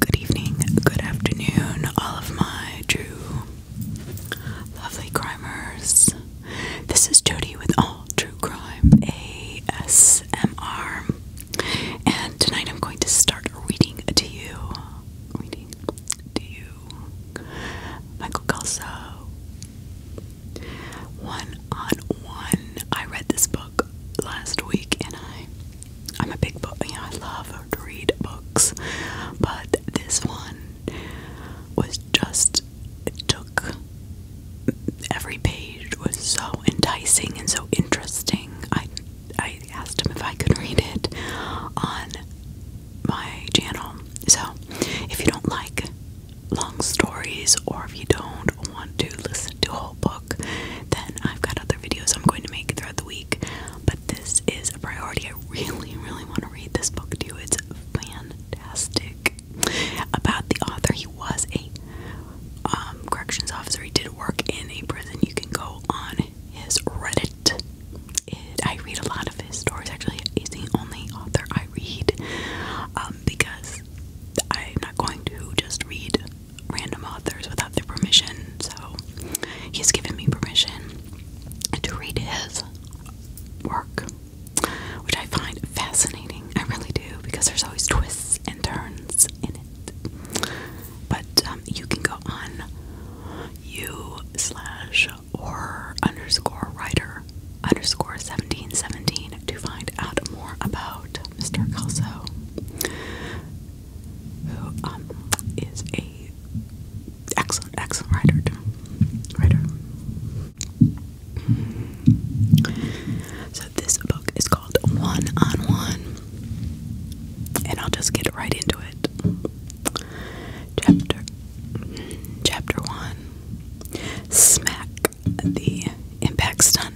Good evening, good afternoon, all of my true lovely crimers. This is Jody with All True Crime ASMR, and tonight I'm going to start reading to you, reading to you, Michael Kelso. One on one. I read this book last week, and I I'm a big book, you I love to read books, but this one was just, took, every page was so enticing and so interesting. I, I asked him if I could read it on my channel. So, if you don't like long stories or if you don't want to listen to whole books, then I've got other videos I'm going to make throughout the week. But this is a priority. I really, really want to read this book too. It's fantastic. About the author, he was a um, corrections officer. He did work in a prison. You can go on his Reddit. I read a lot of his stories. Actually, he's the only author I read um, because I'm not going to just read random authors without their permission, so he's given me permission to read his work, which I find fascinating. I really do, because there's always twists and turns in it. But um, you can go on u slash or underscore writer underscore 1717 to find out more about Mr. Kelso who um, a excellent, excellent writer. Writer. So this book is called One on One, and I'll just get right into it. Chapter, chapter one. Smack the impact's done.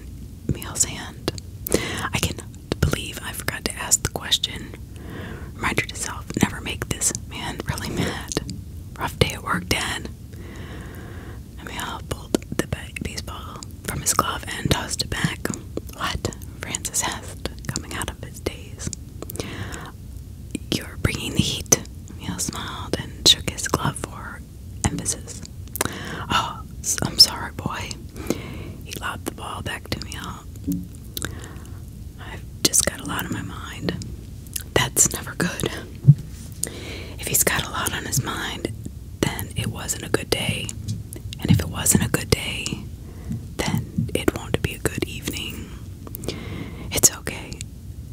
Meal's hand. I can believe I forgot to ask the question. Reminder to self, never make this man really mad. Rough day at work, Dad. Emil pulled the baseball from his glove and tossed it back. What? Francis asked, coming out of his daze. You're bringing the heat. Emil smiled and shook his glove for emphasis. Oh, I'm sorry, boy. He lobbed the ball back to me. All. I've just got a lot on my mind. That's never good. If he's got a lot on his mind, then it wasn't a good day. And if it wasn't a good day, then it won't be a good evening. It's okay.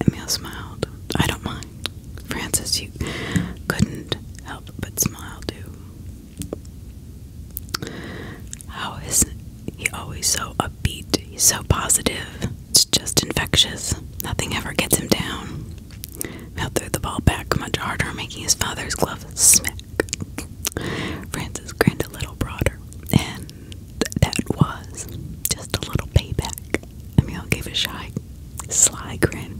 Emil smiled. I don't mind. Francis, you couldn't help but smile too. How is he always so upbeat? He's so positive. It's just infectious. Nothing ever gets him down. Mel threw the ball back much harder, making his father's glove smack. Francis grinned a little broader, and that was just a little payback. Emil gave a shy, sly grin.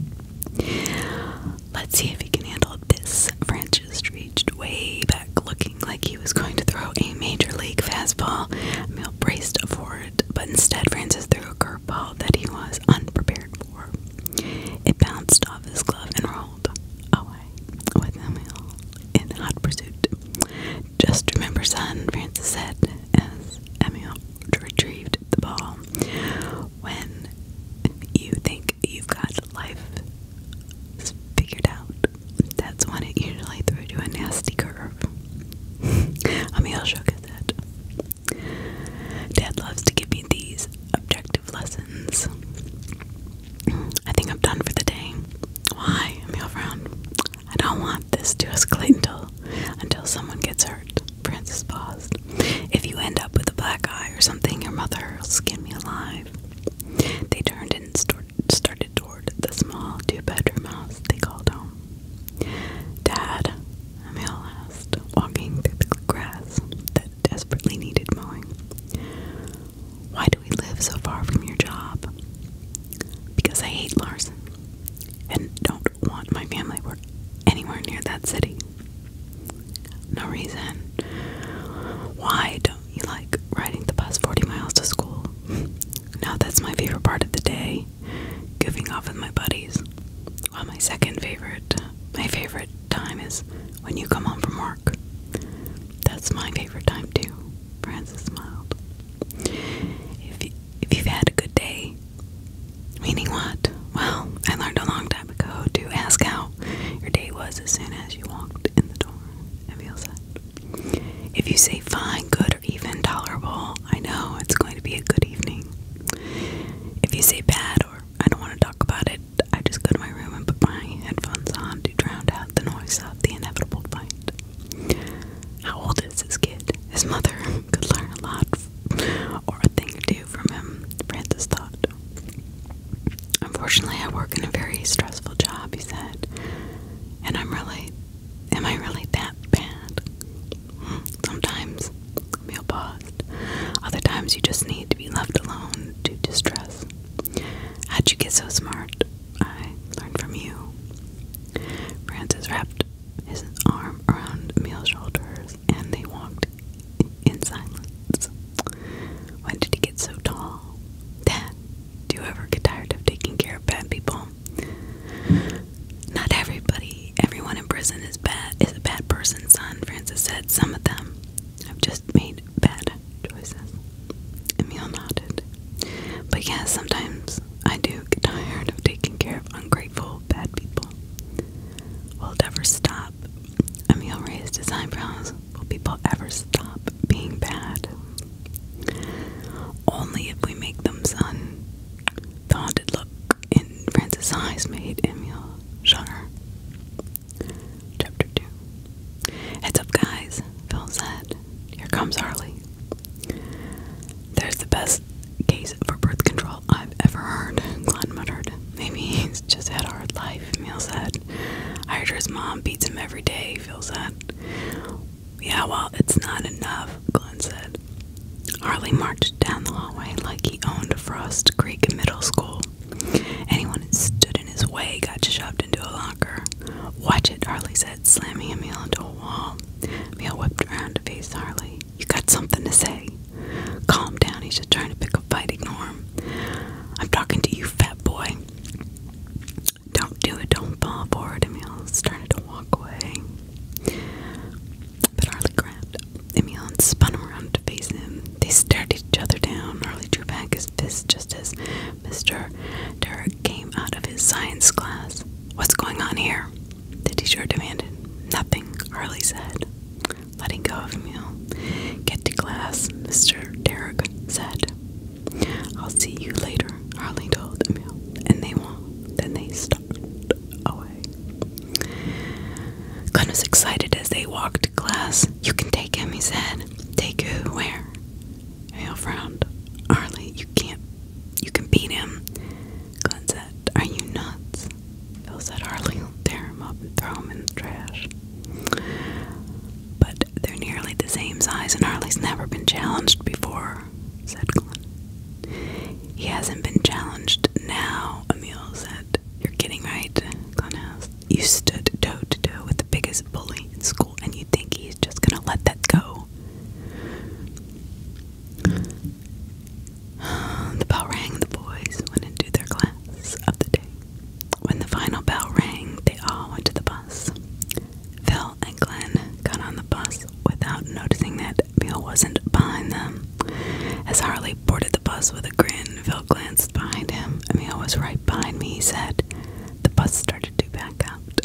Let's see if he can handle this. Francis reached way back, looking like he was going to throw a major league fastball. Mill braced for it, but instead Francis threw a curveball that he was unprepared for. It bounced off his glove and rolled away with Emil in hot pursuit. Just remember, son, Francis said as Emil retrieved the ball when you think you've got life figured out, that's when it usually throws you a nasty curve. i shook at that. Dad loves to give me these objective lessons. I think I'm done for the day. Why, Emil frowned. I don't want this to escalate until, until someone gets hurt. Francis paused. If you end up with a black eye or something, your mother will skin me alive. They turned and started toward the small two bedroom house they called home. Dad, Emil asked, walking through the grass that desperately needed mowing. Why do we live so far from your job? Because I hate Larson and don't want my family work anywhere near that city. No reason. Why don't you like riding the bus 40 miles to school? No, that's my favorite part of the day. Goofing off with my buddies. Well, my second favorite, my favorite time is when you come home from work. That's my favorite time too. Francis smiled. If you, if you've had a good day, meaning what? Well, I learned a long time time ago to ask how your day was as soon as you walked in the door. Emil said. If you say fine, good, or even tolerable, I know it's going to be a good evening. If you say bad or I don't want to talk about it, I just go to my room and put my headphones on to drown out the noise of the inevitable fight. How old is this kid? His mother could learn a lot or a thing to do from him, Francis thought. Unfortunately, I work in a very stressful job, he said, and I'm really, am I really that bad? Sometimes, Emil paused. Other times, you just need to be left alone to distress. How'd you get so smart? I learned from you. Francis wrapped his arm around Emil's shoulders and they walked in silence. When did he get so tall? Dad, do you ever get tired of taking care of bad people? Not everybody. Everyone in prison is bad is a bad person, son, Francis said. Some of them have just made bad choices. Emil nodded. But yeah, sometimes I do get tired of taking care of ungrateful bad people. Will it ever stop? Emil raised his eyebrows. Will people ever stop being bad? Only if we make them, son. The haunted look in Francis' eyes made Emil shudder. Chapter 2 Heads up, guys, Phil said. Here comes Harley. There's the best case for birth control I've ever heard, Glenn muttered. Maybe he's just had a hard life and feels that. Hydra's mom beats him every day, He feels that. Yeah, well, it's not enough, Glenn said. Harley marched down the hallway like he owned Frost Creek Middle School. Anyone who stood in his way got shoved into a locker. Watch it, Harley said, slamming Emil into a wall. Emil whipped around to face Harley. You got something to say? Calm down, he's just trying to pick up a fighting arm. I'm talking to you, fat boy. Don't do it, don't fall forward. Emil's starting to walk away. But Harley grabbed Emil and spun around to face him. They stared at each other down. Harley drew back his fist just as Mr. Derek came out of his science class. What's going on here? The teacher demanded. Nothing, Harley said letting go of Emil. Get to class, Mr. Derrick said. I'll see you later, Harley told Emil, and they will Then they stalked away. Gunn was excited as they walked to class. You can take him, he said. Take who? Where? Emil frowned. Harley, you can't. You can beat him. Gunn said, Are you nuts? Phil said, Harley will tear him up and throw him in the trash. But they're nearly the same size and Harley's never been challenged before, said Glen. He hasn't been challenged now, Emil said. You're kidding, right? Glenn asked. You stood toe to toe with the biggest bully in school and you think he's just gonna let that go. The bell rang, the boys went into their class of the day. When the final bell rang, they all went to the bus. Phil and Glen got on the bus without noticing that Bill wasn't behind them. As Harley boarded the bus with a grin, Phil glanced behind him. Emil was right behind me, he said. The bus started to back out.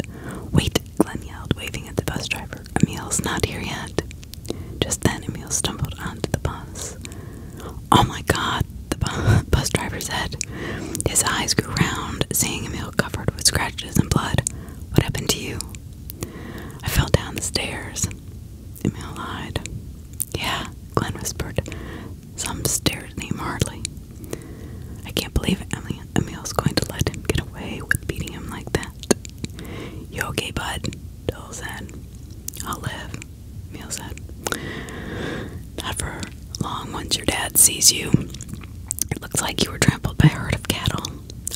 Wait, Glen yelled, waving at the bus driver. Emil's not here yet. Just then, Emil stumbled onto the bus. Oh my god, the bus driver said. His eyes grew round, seeing Emil covered with scratches and blood. What happened to you? I fell down the stairs. Emil lied. Yeah, Glenn whispered. Some stared at him hardly. I can't believe Emily, Emil's going to let him get away with beating him like that. You okay, bud? Dole said. I'll live. Neil said. Not for long once your dad sees you. It looks like you were trampled by a herd of cattle.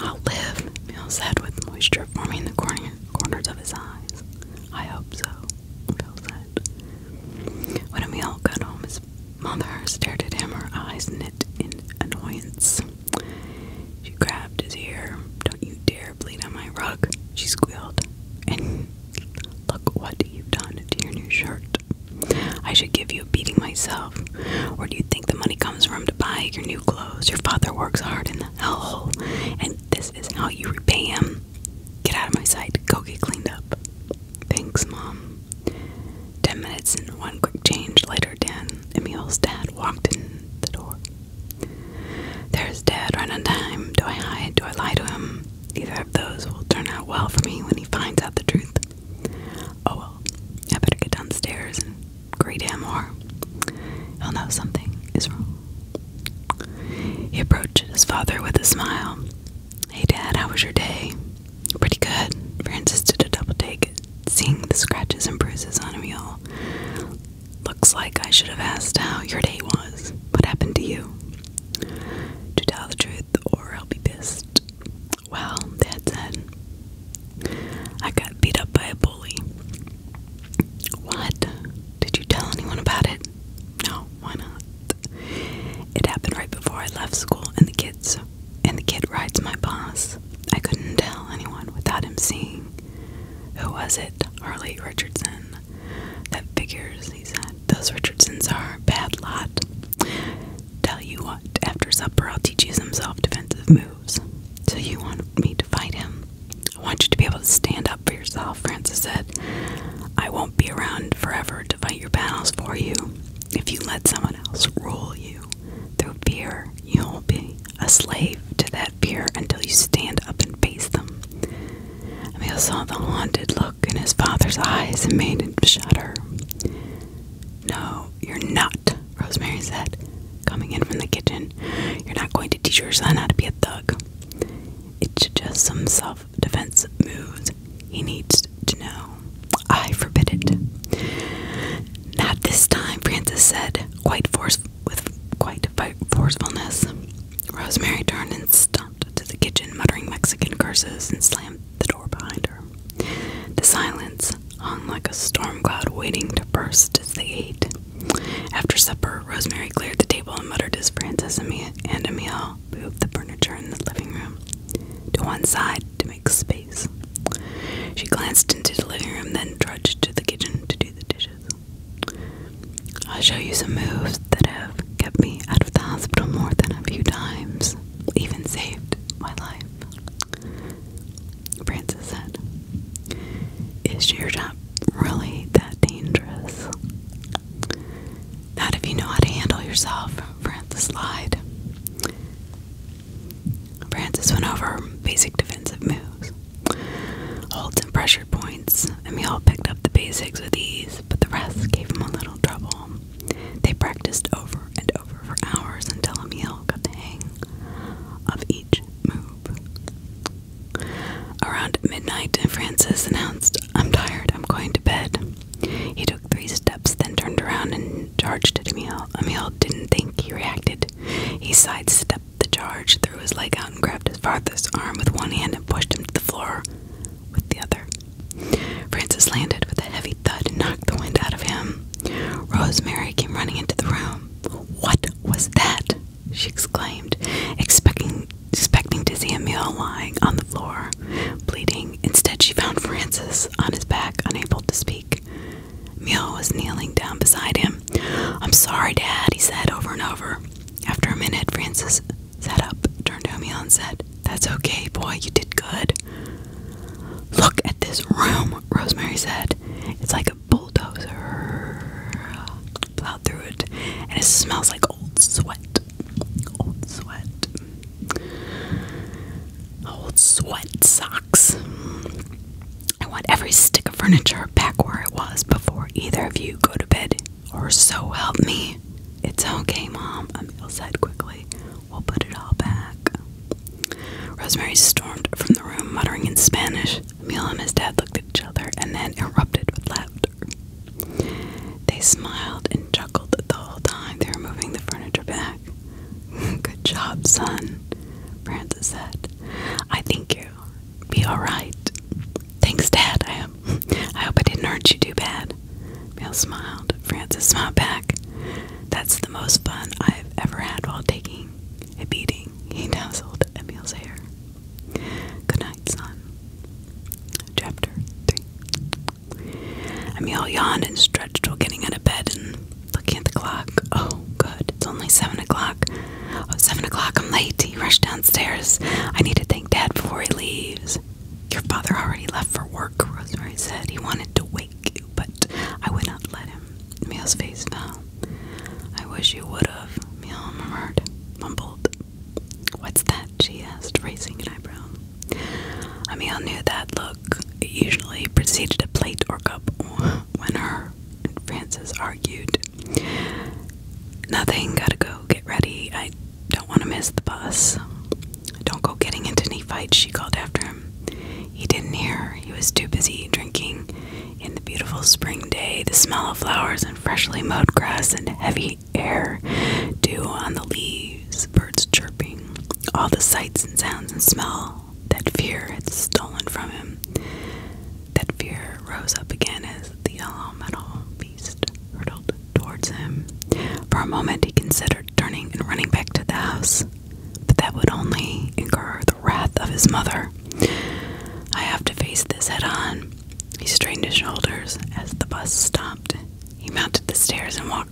I'll live, Neil said, with moisture forming the corners of his eyes. I hope so, Bill said. When Emil got home, his mother stared at him, her eyes knit in annoyance. She grabbed his ear. Don't you dare bleed on my rug, she squealed. Look what you've done to your new shirt. I should give you a beating myself. Where do you think the money comes from to buy your new clothes? Your father works hard in the hellhole, and this is how you repay him. Get out of my sight. Go get cleaned up. Thanks, Mom. Ten minutes and one quick change later, Dan, Emile's dad, walked in the door. There's Dad running time. Do I hide? Do I lie to him? Either of those will turn out well for me when he finds out the truth. Oh well, I better get downstairs and greet him, or he'll know something is wrong. He approached father with a smile. Hey, Dad, how was your day? Pretty good. Francis did a double take, seeing the scratches and bruises on a mule. Looks like I should have asked how your day was. What happened to you? To tell the truth, or I'll be pissed. Well, Dad said, I got beat up by a bully. What? Did you tell anyone about it? No, why not? It happened right before I left school, and the kids, and the kid rides my bus. I couldn't tell anyone without him seeing. Who was it? Harley Richardson. That figures, he said. Those Richardsons are a bad lot. Tell you what, after supper I'll teach you some self defensive moves. So you want me to fight him? I want you to be able to stand up for yourself, Francis said. I won't be around forever to fight your battles for you. If you let someone else rule you through fear, you'll be a slave to that fear until you stand up and face them. Emil saw the haunted look in his father's eyes and made him shudder. No, you're not, Rosemary said, coming in from the kitchen. You're not going to teach your son how to be a thug. It's just some self defense moves he needs to know. I forbid it. Not this time, Francis said, quite force with quite forcefulness. Rosemary turned and st to the kitchen, muttering Mexican curses, and slammed the door behind her. The silence hung like a storm cloud waiting to burst as they ate. After supper, Rosemary cleared the table and muttered as Francis and and Emile moved the furniture in the living room to one side to make space. She glanced into the living room, then trudged to the kitchen to do the dishes. I'll show you some moves that have kept me out of the hospital more than a few times, even saved my life. Francis said, Is your job really that dangerous? Not if you know how to handle yourself, Francis lied. Francis went over basic defensive moves, holds and pressure points, and we all picked up the basics with ease but the rest gave him a little trouble. They practiced over and over for hours until Emil got the hang of each move. Around midnight, Francis announced, I'm tired, I'm going to bed. He took three steps, then turned around and charged at Emil. Emil didn't think he reacted. He sidestepped the charge, threw his leg out, and grabbed his father's arm with one hand and pushed him to the floor with the other. Francis landed with a heavy thud and knocked the wind out of him. Rosemary came running into the room. What was that? she exclaimed, expecting expecting to see Emile lying on the floor, bleeding. Instead she found Francis on his back, unable to speak. Emile was kneeling down beside him. I'm sorry, Dad, he said over and over. After a minute, Francis sat up, turned to me, and said, That's okay, boy, you did good. Look at this room, Rosemary said. It's like a bulldozer. Plowed through it, and it smells like old sweat. Old sweat. Old sweat socks. I want every stick of furniture back where it was before either of you go to bed. Or so help me. It's okay, Mom, Emil said quickly. We'll put it all back. Rosemary stormed from the room, muttering in Spanish. Emil and his dad looked at each other and then erupted with laughter. They smiled and chuckled the whole time they were moving the furniture back. Good job, son, Francis said. I think you'll be alright. Thanks, Dad. I hope, I didn't hurt you too bad. Bill smiled. Francis smiled back. That's the most fun I've ever had while taking a beating. He tousled Emil's hair. Good night, son. Chapter 3 Emil yawned and stretched while getting out of bed and looking at the clock. Oh, good. It's only 7 o'clock. 7 o'clock. I'm late. He rushed downstairs. I need to thank Dad before he leaves. Your father already left for work, Rosemary said. He wanted to wake you, but I would not let him. Meow's face fell. I wish you would have, Meow murmured, mumbled. What's that? she asked, raising an eyebrow. Emil knew that look. It usually preceded a plate or cup when her and Frances argued. Nothing, gotta go, get ready. I don't want to miss the bus. Don't go getting into any fights, she called after him. He didn't hear her. He was too busy drinking. In the beautiful spring day, the smell of flowers and freshly mowed grass and heavy air dew on the leaves, birds chirping, all the sights and sounds and smell that fear had stolen from him. That fear rose up again as the yellow metal beast towards him. For a moment, he considered turning and running back to the house, but that would only incur the wrath of his mother. I have to face this head on. He strained his shoulders as the bus stopped. He mounted the stairs and walked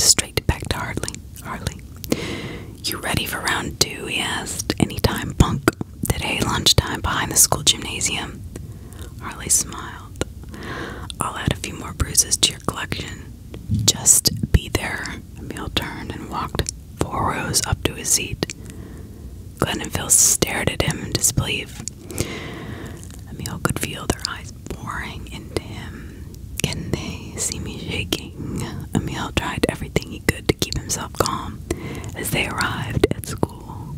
straight back to Harley. Harley, you ready for round two? He asked. Anytime, punk. Today, lunchtime, behind the school gymnasium. Harley smiled. I'll add a few more bruises to your collection. Just be there. Emil turned and walked four rows up to his seat. Glendenville stared at him in disbelief. Emil could feel their eyes boring into him. Can they see me shaking? Emil tried everything he could to keep himself calm as they arrived at school.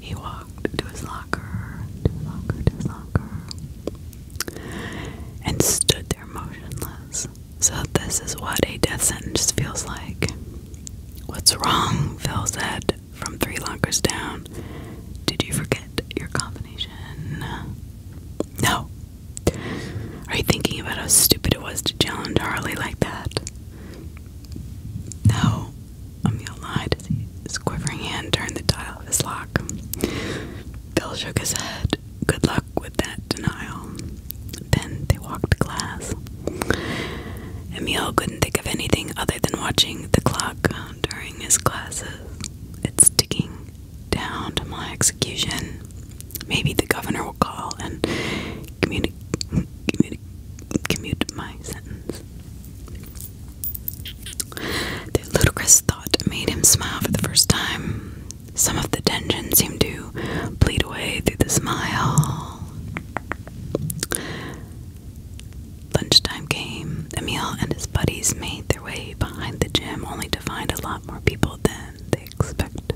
He walked to his locker and stood there motionless. So, this is what a death sentence feels like. What's wrong? Phil said from three lockers down. Did you forget your combination? No. Are you thinking about how stupid it was to challenge Harley like that? No, Emile lied his quivering hand turned the dial of his lock. Bill shook his head. Good luck with that denial. Then they walked to class. Emile couldn't think of anything other than watching the clock during his classes. It's ticking down to my execution. Maybe the governor will call and commute, commute, commute my sentence. The ludicrous thought made him smile for the first time. Some of the tension seemed to bleed away through the smile. Lunchtime came. Emil and his buddies made their way behind the gym only to find a lot more people than they expected.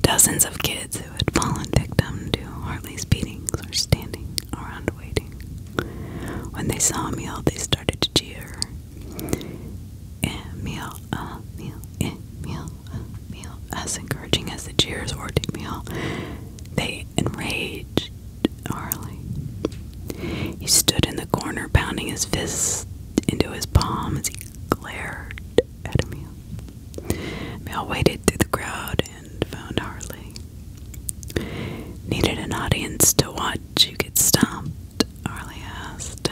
Dozens of kids who had fallen victim to Hartley's beatings were standing around kept waiting. When they saw Miel, they started to cheer. Eh, Miel, ah, uh, Miel, eh, Miel, ah, uh, Miel. As encouraging as the cheers were to Miel, they enraged Harley. He stood in the corner, pounding his fists into his palm as he glared at Emil. Mel waded through the crowd and found Harley. Needed an audience to watch you get stomped, Harley asked.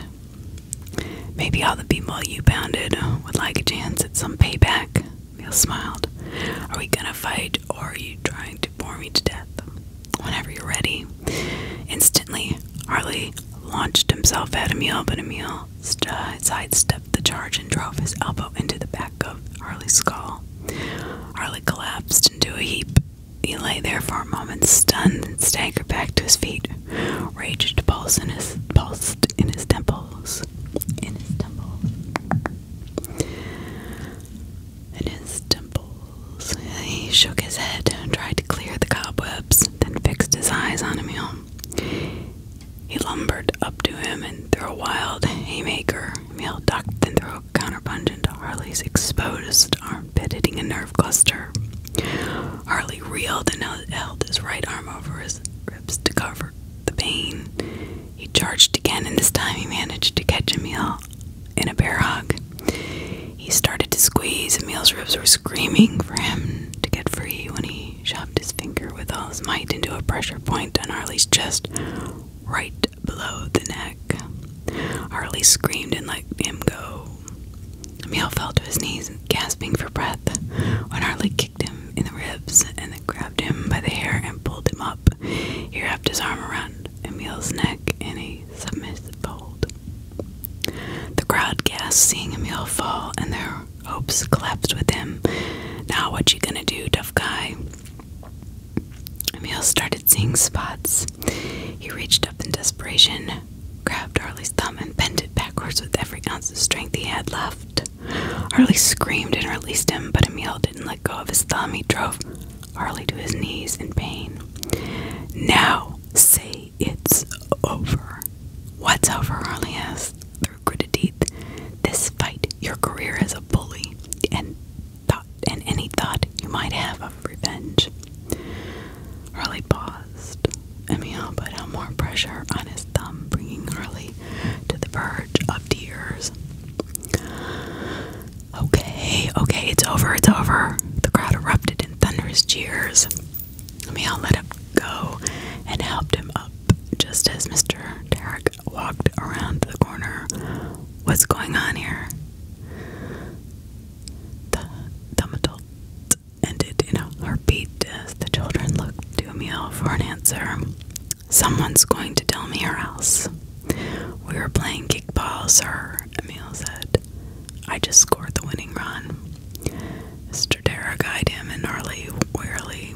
Maybe all the people you pounded would like a chance at some payback, Neil smiled. Are we gonna fight or are you trying to bore me to death? Whenever you're ready. Instantly, Harley launched himself at Emil, but Emil sidestepped the charge and drove his elbow into the back of Harley's skull. Harley collapsed into a heap. He lay there for a moment, stunned, and staggered back to his feet. Rage pulsed in his pulsed in his temples. In his temples. In his temples. He shook his head, and tried to clear the cobwebs, then fixed his eyes on Emil. He lumbered up to him and threw a wild haymaker, Emil ducked and threw a counterpunch into Harley's exposed armpit, hitting a nerve cluster. Harley reeled and held his right arm over his ribs to cover the pain. He charged again, and this time he managed to catch Emil in a bear hug. He started to squeeze. Emil's ribs were screaming for him to get free when he shoved his finger with all his might into a pressure point on Harley's chest right below the neck. Harley screamed and let him go. Emil fell to his knees, gasping for breath, when Harley kicked him in the ribs and then grabbed him by the hair and pulled him up. He wrapped his arm around Emil's neck in a submissive hold. The crowd gasped, seeing Emil fall, and their hopes collapsed with him. Now, what you gonna do, tough guy? Emile started seeing spots. He reached up in desperation, grabbed Harley's thumb, and bent it backwards with every ounce of strength he had left. Harley screamed and released him, but Emile didn't let go of his thumb. He drove Harley to his knees in pain. Now, say it's over. What's over? Harley asked through gritted teeth. This fight, your career as a bully, and thought and any thought you might have of revenge. Harley paused. Emil put more pressure on his thumb, bringing Harley to the verge of tears. Okay, okay, it's over, it's over. The crowd erupted in thunderous cheers. Emil let him go and helped him up just as Mr. Derrick walked around the corner. What's going on here? The dumb adult ended in a heartbeat as the children looked to Emil for an answer. Someone's going to tell me or else. We were playing kickball, sir, Emil said. I just scored the winning run. Mr. Dara eyed him and gnarly, wearily.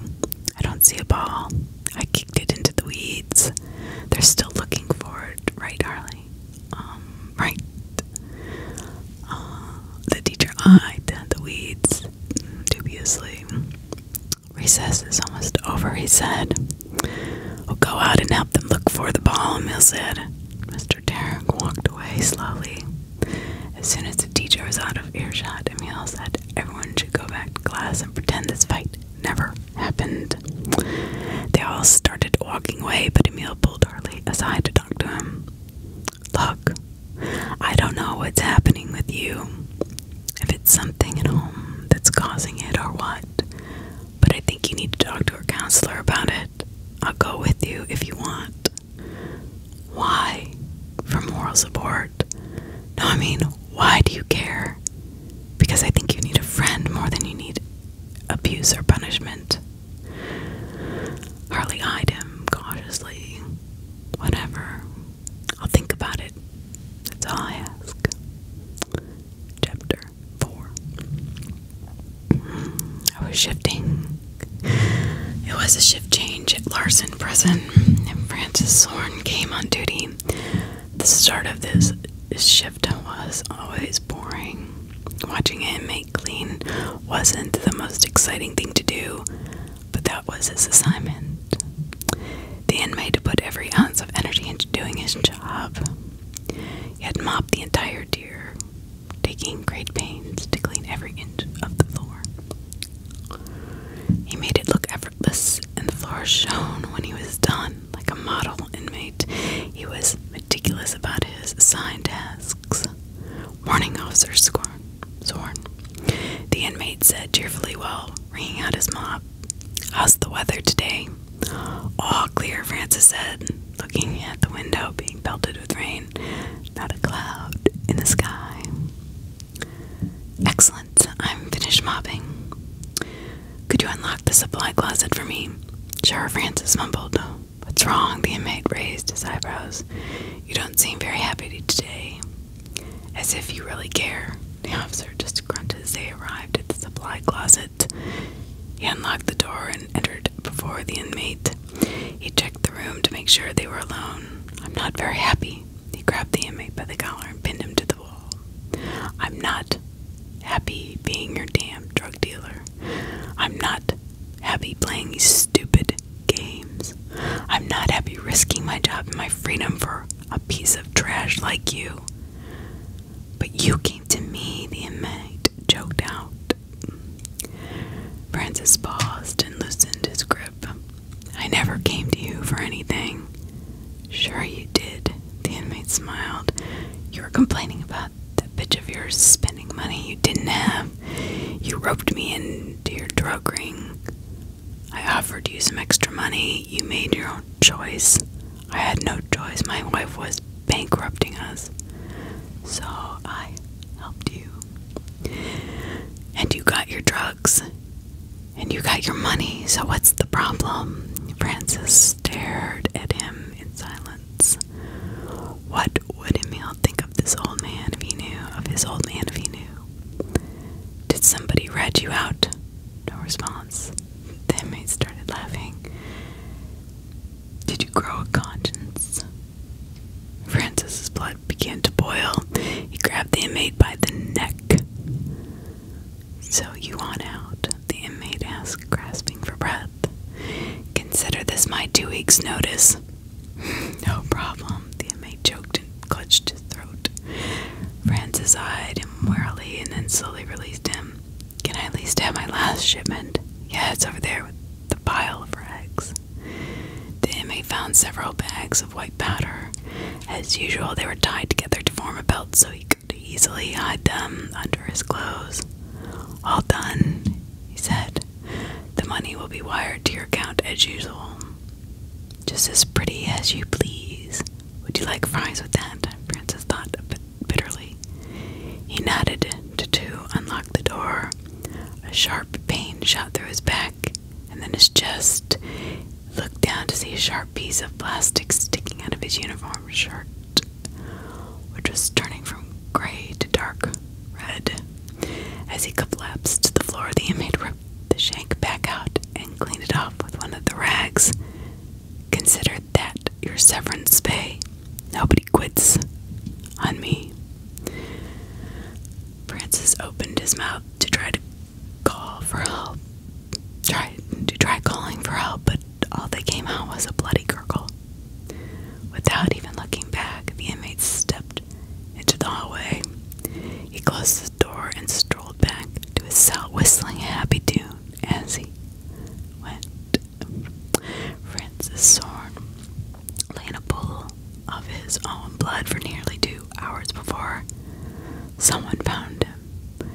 I don't see a ball. I kicked it into the weeds. They're still looking for it, right, Harley? Um, right. Uh, the teacher eyed the weeds dubiously. Recess is almost over, he said. We'll go out and help them look for the ball, he said. Mr. Derrick walked away slowly. As soon as the teacher was out of earshot, Emil said, Everyone should go back to class and pretend this fight never happened. They all started walking away, but Emil pulled Harley aside to talk to him. Look, I don't know what's happening with you, if it's something at home that's causing it or what, but I think you need to talk to a counselor about it. I'll go with you if you want. Why? For moral support? No, I mean, why do you care? Because I think you need a friend more than you need abuse or punishment. Harley eyed him cautiously. Whatever. I'll think about it. That's all I ask. Chapter 4 I was shifting. It was a shift change at Larson Prison, and Francis Zorn came on duty. The start of this shift was always boring. Watching him make clean wasn't the most exciting thing to do, but that was his assignment. The inmate put every ounce of energy into doing his job. He had mopped the entire tier, taking great pains to clean every inch of the floor. He made it look effortless and the floor shone when he was done, like a model inmate. He was meticulous about his assigned tasks. Morning, Officer Scorn. Zorn. The inmate said cheerfully while ringing out his mop. How's the weather today? All clear, Francis said, looking at the window being pelted with rain. Not a cloud in the sky. Excellent. I'm finished mopping. Could you unlock the supply closet for me? Sheriff Francis mumbled. What's wrong? The inmate raised his eyebrows. You don't seem very happy today. As if you really care. The officer just grunted as they arrived at the supply closet. He unlocked the door and entered before the inmate. He checked the room to make sure they were alone. I'm not very happy. He grabbed the inmate by the collar and pinned him to the. I'm not happy being your damn drug dealer. I'm not happy playing these stupid games. I'm not happy risking my job and my freedom for a piece of trash like you. But you came to me, the inmate Choked out. Francis paused and loosened his grip. I never came to you for anything. Sure, you did, the inmate smiled. You were complaining about that bitch of yours spending money you didn't have. You roped me into your drug ring. I offered you some extra money. You made your own choice. I had no choice. My wife was bankrupting us. So I helped you. And you got your drugs and you got your money, so what's the problem? Francis stared at him in silence. What would Emil think of this old man if he knew? Of his old man if he knew? Did somebody rat you out? No response. The inmate started laughing. Did you grow a conscience? Francis's blood began to boil. He grabbed the inmate by the neck. So you want out, the inmate asked, grasping for breath. Consider this my two weeks' notice. no problem, the inmate choked and clutched his throat. Francis eyed him warily and then slowly released him. Can I at least have my last shipment? Yeah, it's over there with the pile of rags. The inmate found several bags of white powder. As usual, they were tied together to form a belt so he could to easily hide them under his clothes. All done, he said. The money will be wired to your account as usual. Just as pretty as you please. Would you like fries with that? Francis thought bitterly. He nodded to two, unlocked the door. A sharp pain shot through his back and then his chest looked down to see a sharp piece of plastic sticking out of his uniform shirt, which was turning from gray to dark red. As he collapsed to the floor, the inmate ripped the shank back out and cleaned it off with one of the rags. Consider that your severance pay. Nobody quits on me. Francis opened his mouth to try to call for help. Try to try calling for help, but all they came out was a bloody gurgle. Without even looking back, the inmate stepped into the hallway. He closed the door and strolled back to his cell, whistling a happy tune as he went. Francis Sorn lay in a pool of his own blood for nearly two hours before someone found him time.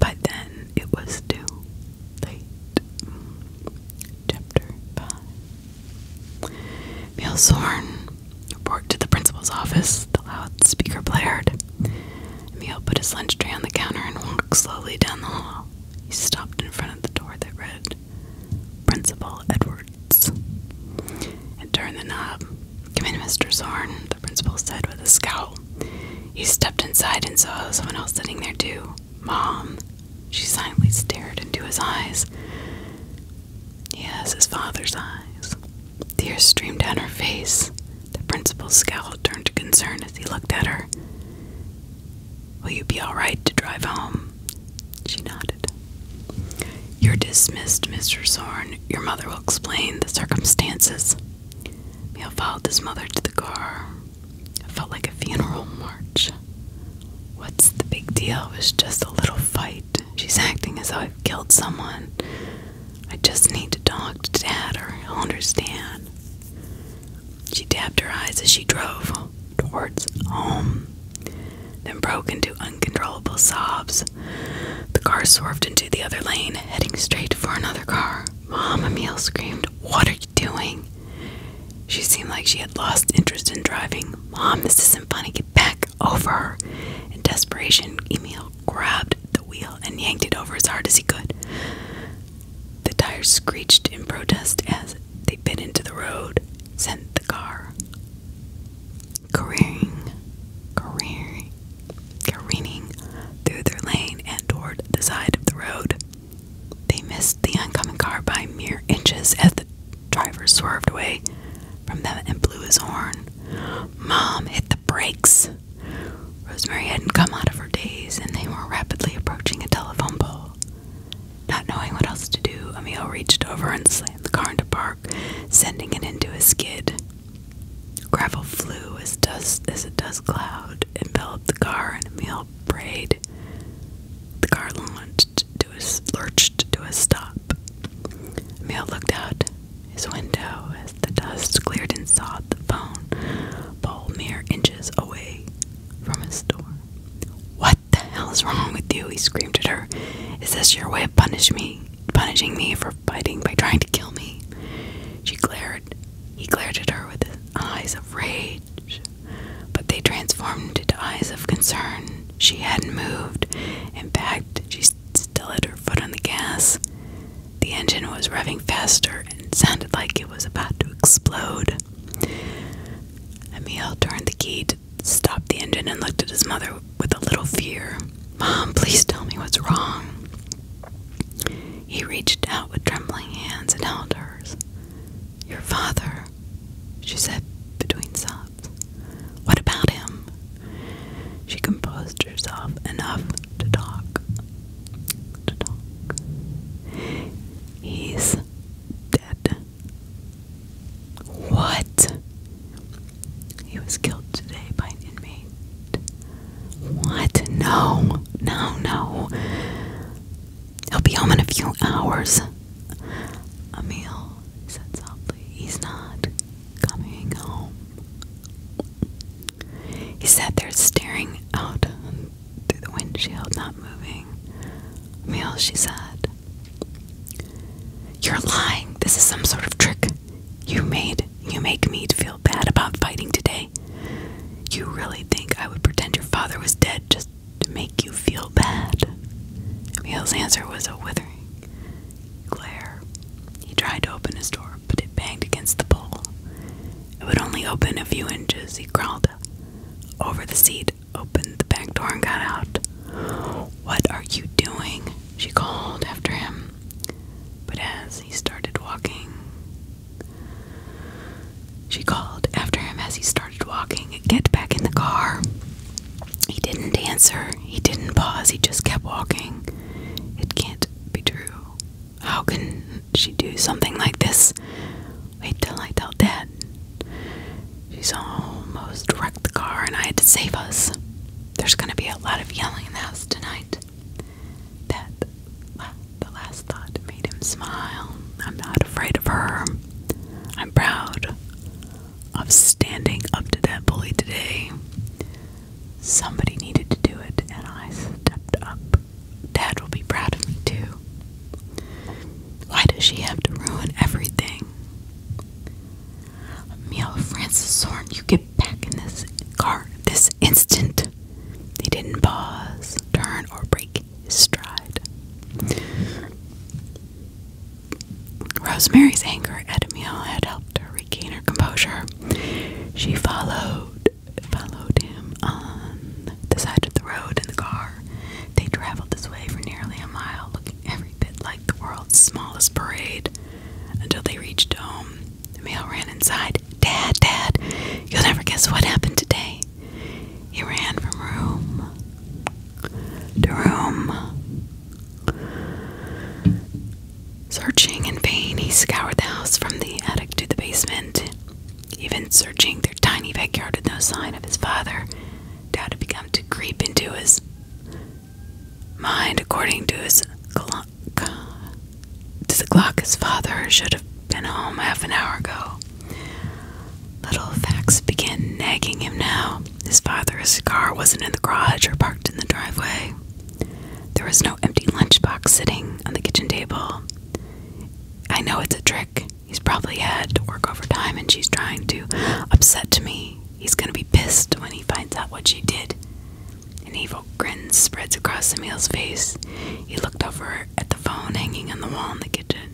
By then, it was too late. Chapter 5 Meelsorn report to the principal's office. The loudspeaker blared. Emil put his lunch tray on the counter and walked slowly down the hall. He stopped in front of the door that read Principal Edwards and turned the knob. Come in, Mr. Zorn, the principal said with a scowl. He stepped inside and saw someone else sitting there too. Mom. She silently stared into his eyes. Yes, his father's eyes. Tears streamed down her face. The principal's scowl turned to concern as he looked at her. Will you be all right to drive home? She nodded. You're dismissed, Mr. Zorn. Your mother will explain the circumstances. He followed his mother to the car. It felt like a funeral march. What's the big deal? It was just a little fight. She's acting as though I've killed someone. I just need to talk to Dad or he'll understand. She dabbed her eyes as she drove towards home, then broke into uncontrollable sobs. The car swerved into the other lane, heading straight for another car. Mom, Emil screamed, What are you doing? She seemed like she had lost interest in driving. Mom, this isn't funny. Get back over In desperation, Emil grabbed the wheel and yanked it over as hard as he could. The tires screeched in protest as they bit into the road, sent the car careering, careering careening through their lane and toward the side of the road. They missed the oncoming car by mere inches as the driver swerved away from them and blew his horn. Mom hit the brakes. Rosemary hadn't come out of her daze, and they were rapidly approaching a telephone pole. Not knowing what else to do, Emil reached over and slammed the car into park, sending it into a skid. Gravel flew as dust as a dust cloud enveloped the car, and Emil brayed. The car lurched to a stop. Emil looked out his window as the dust cleared and saw the phone pole mere inches away from his door. What the hell is wrong with you? He screamed at her. Is this your way of punishing me? punishing me for fighting by trying to kill me. She glared. He glared at her with eyes of rage, but they transformed into eyes of concern. She hadn't moved. In fact, she still had her foot on the gas. The engine was revving faster and sounded like it was about to explode. Emil turned the key stopped the engine and looked at his mother with a little fear. Mom, please tell me what's wrong. He reached out with trembling hands and held hers. Your father, she said between sobs. What about him? She composed herself enough to talk. To talk. He's dead. What? He was killed today by an inmate. What? No, no, no. He'll be home in a few hours. Emil said softly, He's not coming home. He sat there staring out through the windshield, not moving. Emil, she said, You're lying. This is some sort of trick you made you make me feel bad about fighting today. You really think I would pretend your father was dead just to make you feel bad? Emil's answer was a withering glare. He tried to open his door, but it banged against the pole. It would only open a few inches. He crawled over the seat, opened the back door, and got out. What are you doing? She called after him. But as he started walking, she called after him as he started walking, Get back in the car. He didn't answer. He didn't pause. He just kept walking. It can't be true. How can she do something like this? Wait till I tell Dad. She's almost wrecked the car and I had to save us. There's gonna be a lot of yelling in the house tonight that the last thought made him smile. I'm not afraid of her. I'm proud of standing up to that bully today. Somebody needed to do it, and I stepped up. Dad will be proud of me too. Why does she have to ruin everything? Mia Francis Zorn, you get back in this car this instant. He didn't pause, turn, or break his stride. Rosemary's anger at Emil had helped her regain her composure. She followed followed him on the side of the road in the car. They traveled this way for nearly a mile, looking every bit like the world's smallest parade, until they reached home. The Emil ran inside. Dad, Dad, you'll never guess what happened today. He ran from room to room. Searching in vain, he scoured the house from the attic to the basement. Even searching their tiny backyard with no sign of his father, doubt had begun to creep into his mind according to his does it clock father should have been home half an hour ago? Little facts begin nagging him now. His father's car wasn't in the garage or parked in the driveway. There was no empty lunchbox sitting on the kitchen table. I know it's a trick. He's probably had to work overtime and she's trying to upset me. He's gonna be pissed when he finds out what she did. An evil grin spreads across Emil's face. He looked over at the phone hanging on the wall in the kitchen.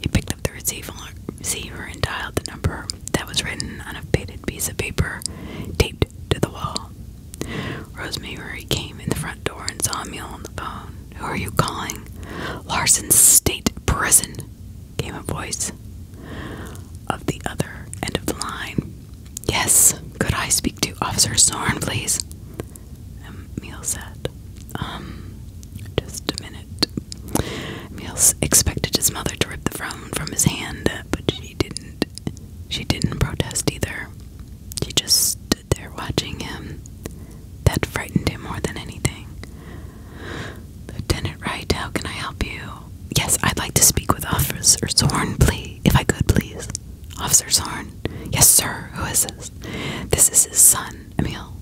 He picked up the receiver and dialed the number that was written on a faded piece of paper taped to the wall. Rosemary came in the front door and saw Emil on the phone. Who are you calling? Larson State Prison, came a voice of the other end of the line. Yes, could I speak to Officer Sorn, please? Emil um, said. Um, just a minute. Emil expected his mother to rip the phone from his hand, but she didn't. She didn't protest either. She just stood there watching him. That frightened him more than anything. Lieutenant Wright, how can I help you? Yes, I'd like to speak with Officer Zorn, please. If I could, please. Officer Zorn. Yes, sir. Who is this? This is his son, Emil.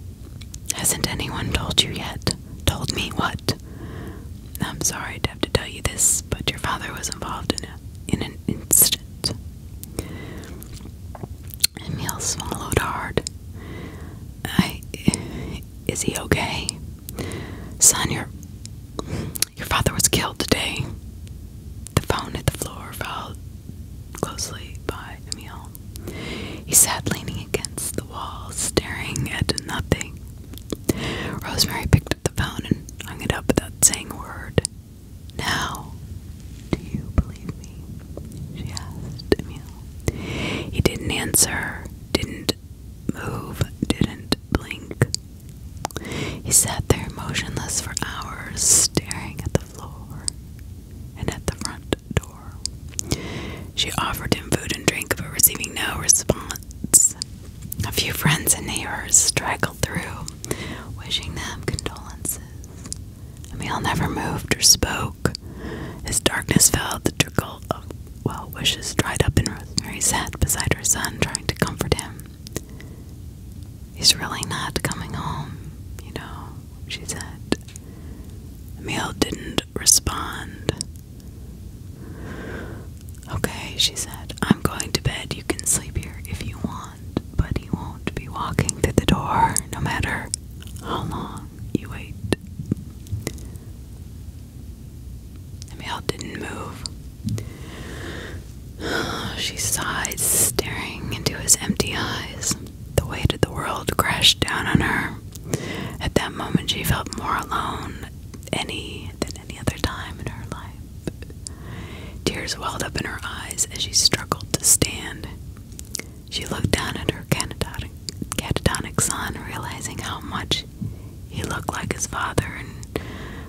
Hasn't anyone told you yet? Told me what? I'm sorry to have to tell you this, but your father was involved in, a, in an incident. Emil swallowed hard. I. Is he okay? Son, you're. Your father was killed today. The phone hit the floor, followed closely by Emil. He sat leaning against the wall, staring at nothing. Rosemary picked up the phone and hung it up without saying a word. Now, do you believe me? She asked Emil. He didn't answer, didn't move, didn't blink. He sat there motionless for hours, staring at the floor and at the front door. She offered him food and drink, but receiving no response. A few friends and neighbors straggled through, wishing them condolences. Emil never moved or spoke. As darkness fell, the trickle of well wishes dried up, and Rosemary sat beside her son, trying to comfort him. He's really not coming home, you know, she said. Emil didn't respond. Okay, she said, I'm going to bed. You can sleep here if you want, but he won't be walking through the door no matter how long you wait. Emil didn't move. She sighed, staring into his empty eyes. The weight of the world crashed down on her. At that moment, she felt more alone any than any other time in her life. Tears welled up in her eyes as she struggled to stand. She looked down at her catatonic son, realizing how much he looked like his father and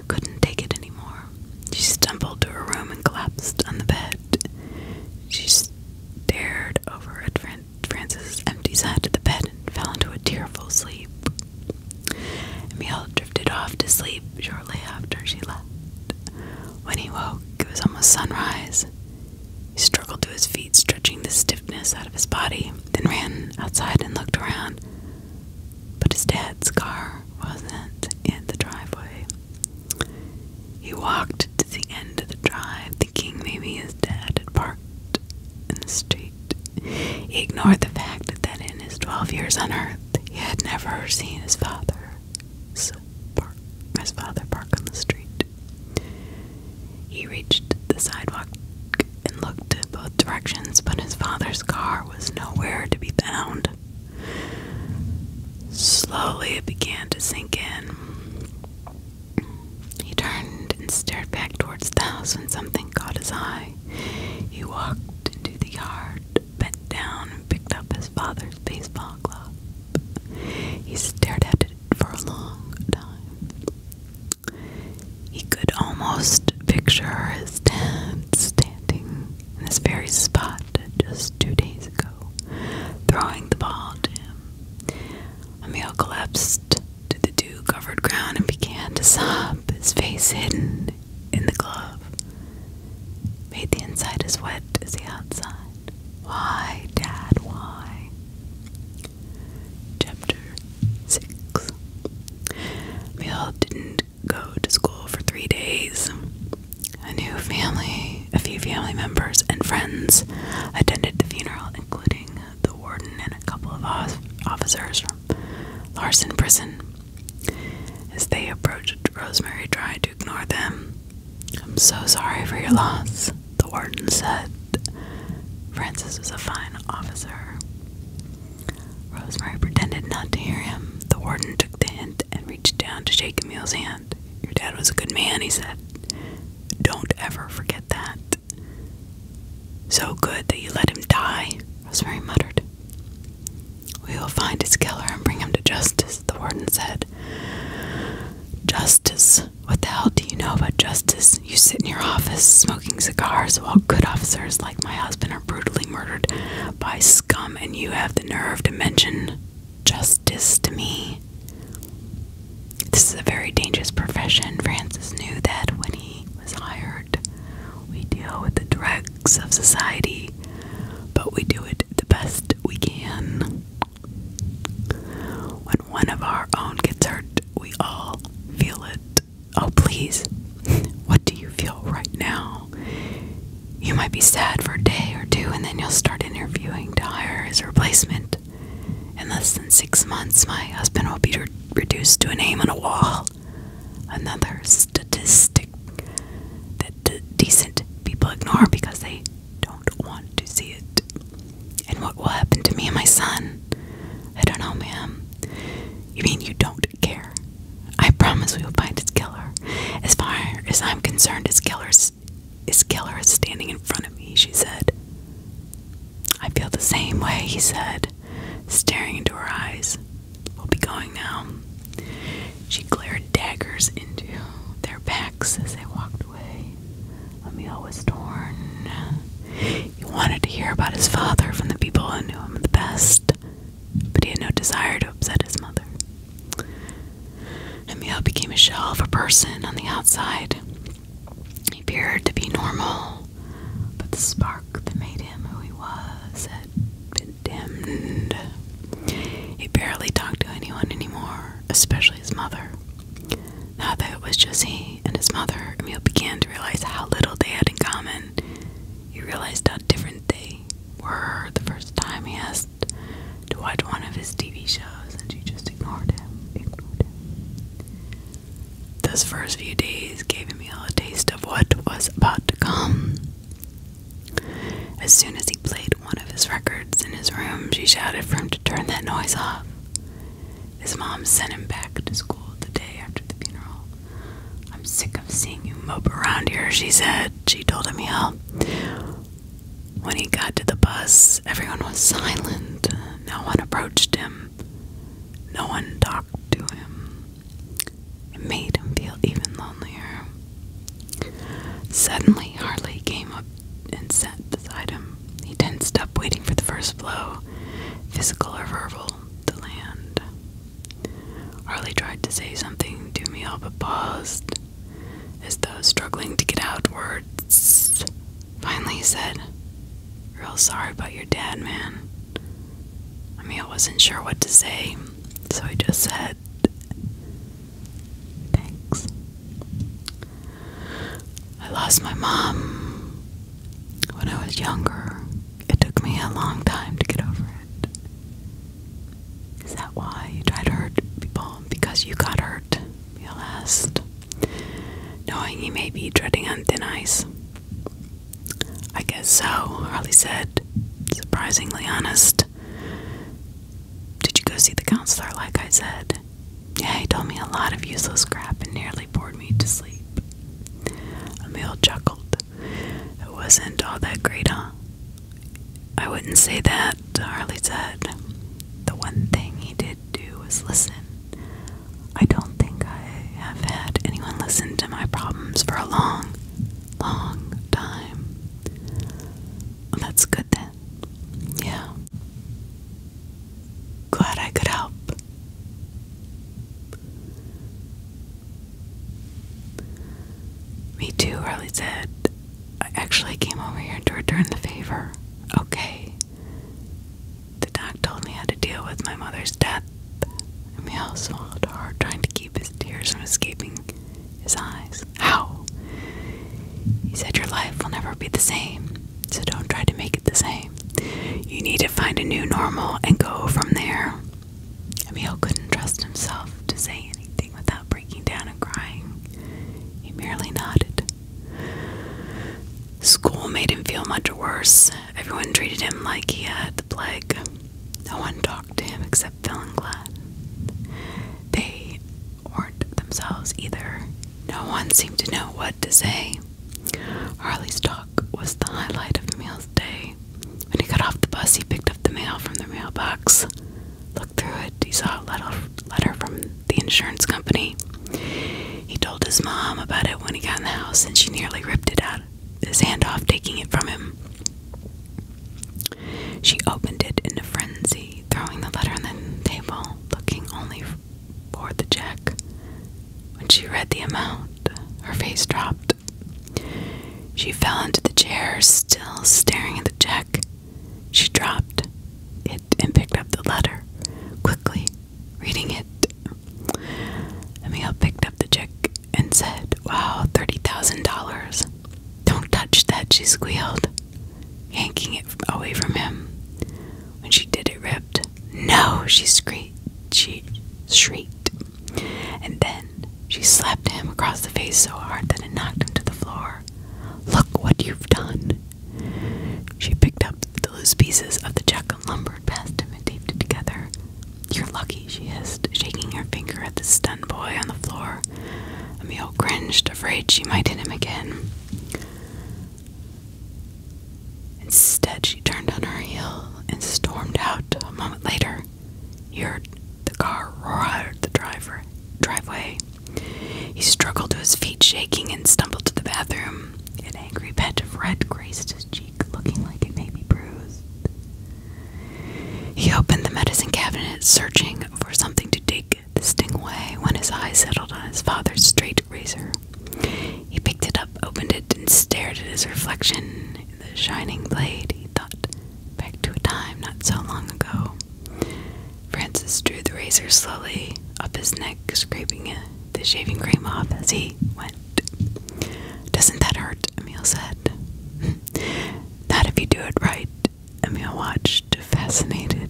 couldn't take it anymore. She stumbled to her room and collapsed on the bed. She stared over at Fran Francis's empty side of the bed and fell into a tearful sleep. Emil drifted off to sleep shortly after she left. When he woke, it was almost sunrise. He struggled to his feet, stretching the stiffness out of his body, then ran outside and looked around. But his dad's car wasn't in the driveway. He walked to the end of the drive, thinking maybe his dad had parked in the street. He ignored the fact that in his 12 years on earth, he had never seen his father. So, park, his father park on the street. He reached the sidewalk and looked in both directions, but his father's car was nowhere to be found. Slowly it began to sink in. He turned and stared back towards the house when something caught his eye. He walked into the yard, bent down, and picked up his father's baseball glove. He stared at it for a long time. He could almost picture his dad standing in this very spot just two days ago, throwing the ball to him. Emil collapsed to the dew covered ground and began to sob, his face hidden in the glove. Made the inside as wet as the outside. Why, Dad, why? Chapter 6 Emil didn't go to school for three days. A new family, a few family members, and friends attended the funeral, including the warden and a couple of officers from Larson Prison. As they approached, Rosemary tried to ignore them. I'm so sorry for your loss, the warden said. Francis was a fine officer. Rosemary pretended not to hear him. The warden took the hint and reached down to shake Emil's hand. Your dad was a good man, he said. Don't ever forget that. So good that you let him die, Rosemary muttered. We will find his killer and bring him to justice, the warden said. Justice? What the hell do you know about justice? You sit in your office smoking cigars while good officers like my husband are brutally murdered by scum and you have the nerve to mention justice to me. This is a very dangerous profession. Francis knew that when he was hired. We deal with the dregs of society, but we do it the best we can. When one of our own gets hurt, we all feel it. Oh, please, what do you feel right now? You might be sad for a day or two, and then you'll start interviewing to hire his replacement. In less than six months, my husband will be reduced to a name on a wall. Another statistic that decent people ignore because they don't want to see it. And what will happen to me and my son? I don't know, ma'am. You mean you don't care. I promise we will find his killer. As far as I'm concerned, his killer is, killer is standing in front of me, she said. I feel the same way, he said, staring into her eyes. We'll be going now. She glared daggers into their backs as they walked away. Emil was torn. He wanted to hear about his father from the people who knew him the best but he had no desire to upset his mother. Emil became a shell of a person on the outside. He appeared to be normal, but the spark that made him who he was had been dimmed. He barely talked to anyone anymore, especially his mother. Now that it was just he and his mother, Emil began to realize how little they had in common. He realized how different they were the first time he asked to watch one of his TV shows, and she just ignored him. Ignored him. Those first few days gave Emil a taste of what was about to come. As soon as he played one of his records in his room, she shouted for him to turn that noise off. His mom sent him back to school the day after the funeral, I'm sick of seeing you mope around here, she said. She told him, yeah. When he got to the bus, everyone was silent. No one approached him. No one talked to him. It made him feel even lonelier. Suddenly, Harley came up and sat beside him. He didn't stop waiting for the first blow, physical or verbal, to land. Harley tried to say something to me all but paused, as though struggling to get out words. Finally he said, Real sorry about your dad, man. I mean, I wasn't sure what to say, so I just said, Thanks. I lost my mom when I was younger. It took me a long time to get over it. Is that why you tried to hurt people? Because you got hurt, you asked. Knowing he may be treading on thin ice. I guess so, Harley said, surprisingly honest. Did you go see the counselor, like I said? Yeah, he told me a lot of useless crap and nearly bored me to sleep. Emil chuckled. It wasn't all that great, huh? I wouldn't say that, Harley said. The one thing he did do was listen. I don't think I have had anyone listen to my problems for a long, long time. that's good then. Yeah. Glad I could help. Me too, Riley said. I actually came over here to return the favor. Okay. The doc told me how to deal with my mother's death. Emil swallowed hard, trying to keep his tears from escaping his eyes. How? He said your life will never be the same, so don't try to make it the same. You need to find a new normal and go from there. Emil couldn't trust himself to say anything without breaking down and crying. He merely nodded. School made him feel much worse. Everyone treated him like he had the plague. No one talked to him except Phil and Glenn. They weren't themselves either. No one seemed to know what to say. Harley's talk was the highlight of Emil's day. When he got off the bus, he picked up the mail from the mailbox, looked through it. He saw a letter from the insurance company. He told his mom about it when he got in the house, and she nearly ripped it out his hand off, taking it from him. She opened it in a frenzy, throwing the letter on the table, looking only for the check. When she read the amount, her face dropped. She fell into the chair, still staring at the check. She dropped it and picked up the letter, quickly reading it. Emil picked up the check and said, Wow, $30,000. Don't touch that, she squealed, yanking it away from him. When she did, it ripped. No, she, she shrieked. And then she slapped him across the face so hard that it knocked him to the floor. Look what you've done! She picked up the loose pieces of the chuck and lumbered past him and taped it together. You're lucky, she hissed, shaking her finger at the stunned boy on the floor. Emil cringed, afraid she might hit him again. Instead, she turned on her heel and stormed out a moment later. He heard the car roar out the driveway. He struggled to his feet, shaking, and stumbled to the bathroom. An angry patch of red grazed his cheek, looking like it may be bruised. He opened the medicine cabinet, searching for something to dig the sting away when his eyes settled on his father's straight razor. He picked it up, opened it, and stared at his reflection the shining blade, he thought, back to a time not so long ago. Francis drew the razor slowly up his neck, scraping the shaving cream off as he went. Doesn't that hurt? Emil said. That if you do it right. Emil watched, fascinated.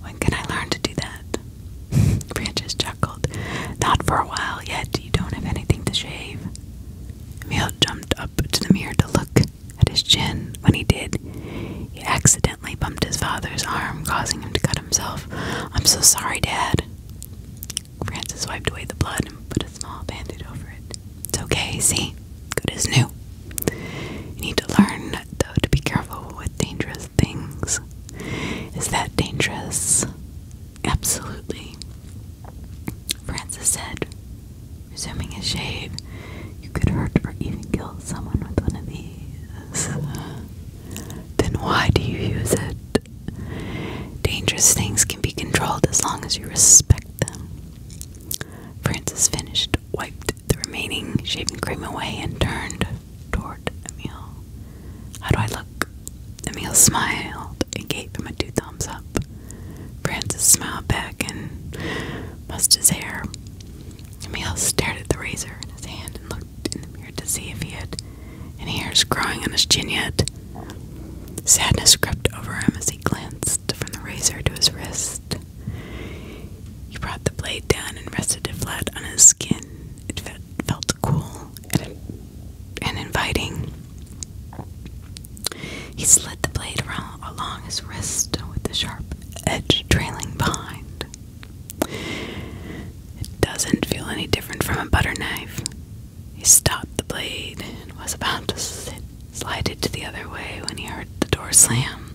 When can I learn to do that? Francis chuckled. Not for a while yet. You don't have anything to shave. Emil jumped up to the mirror to look at his chin. When he did, he accidentally bumped his father's arm, causing him to cut himself. I'm so sorry, Dad. Francis wiped away the blood and put a small bandage over it. It's okay, see? Good as new. You need to learn, though, to be careful with dangerous things. Is that dangerous? Absolutely. Francis said, resuming his shave, You could hurt or even kill someone with one of these. Then why do you use it? Dangerous things can be controlled as long as you respect them. Francis finished, wiped the remaining shaving cream away, and turned toward Emil. How do I look? Emil smiled and gave him a two thumbs up. Francis smiled back and brushed his hair. Emil stared at the razor in his hand and looked in the mirror to see if he had any hairs growing on his chin yet. Sadness crept over him as he glanced from the razor to his wrist. He brought the blade down and rested it flat on his skin. It felt cool and inviting. He slid the blade along his wrist with the sharp edge trailing behind. It doesn't feel any different from a butter knife. He stopped the blade and was about to slide it to the other way when he heard the door slam.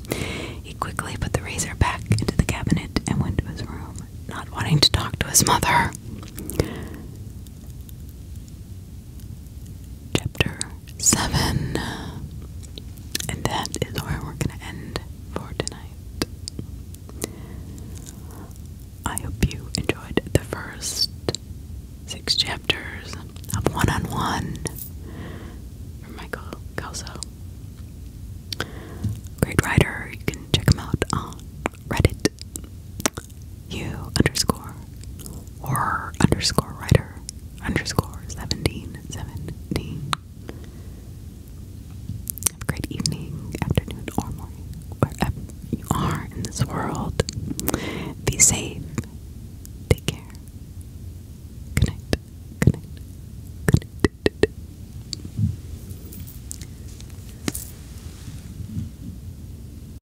He quickly put the razor back into the cabinet and went to his room, not wanting to talk to his mother chapter 7. And that is where we're going to end for tonight. I hope you enjoyed the first six chapters of One on One Michael Kelso. Great writer, you can check him out on Reddit you underscore horror underscore writer underscore 17 17. Have a great evening, afternoon, or morning, wherever you are in this world. Be safe. Take care. Good night. Good night. Good night.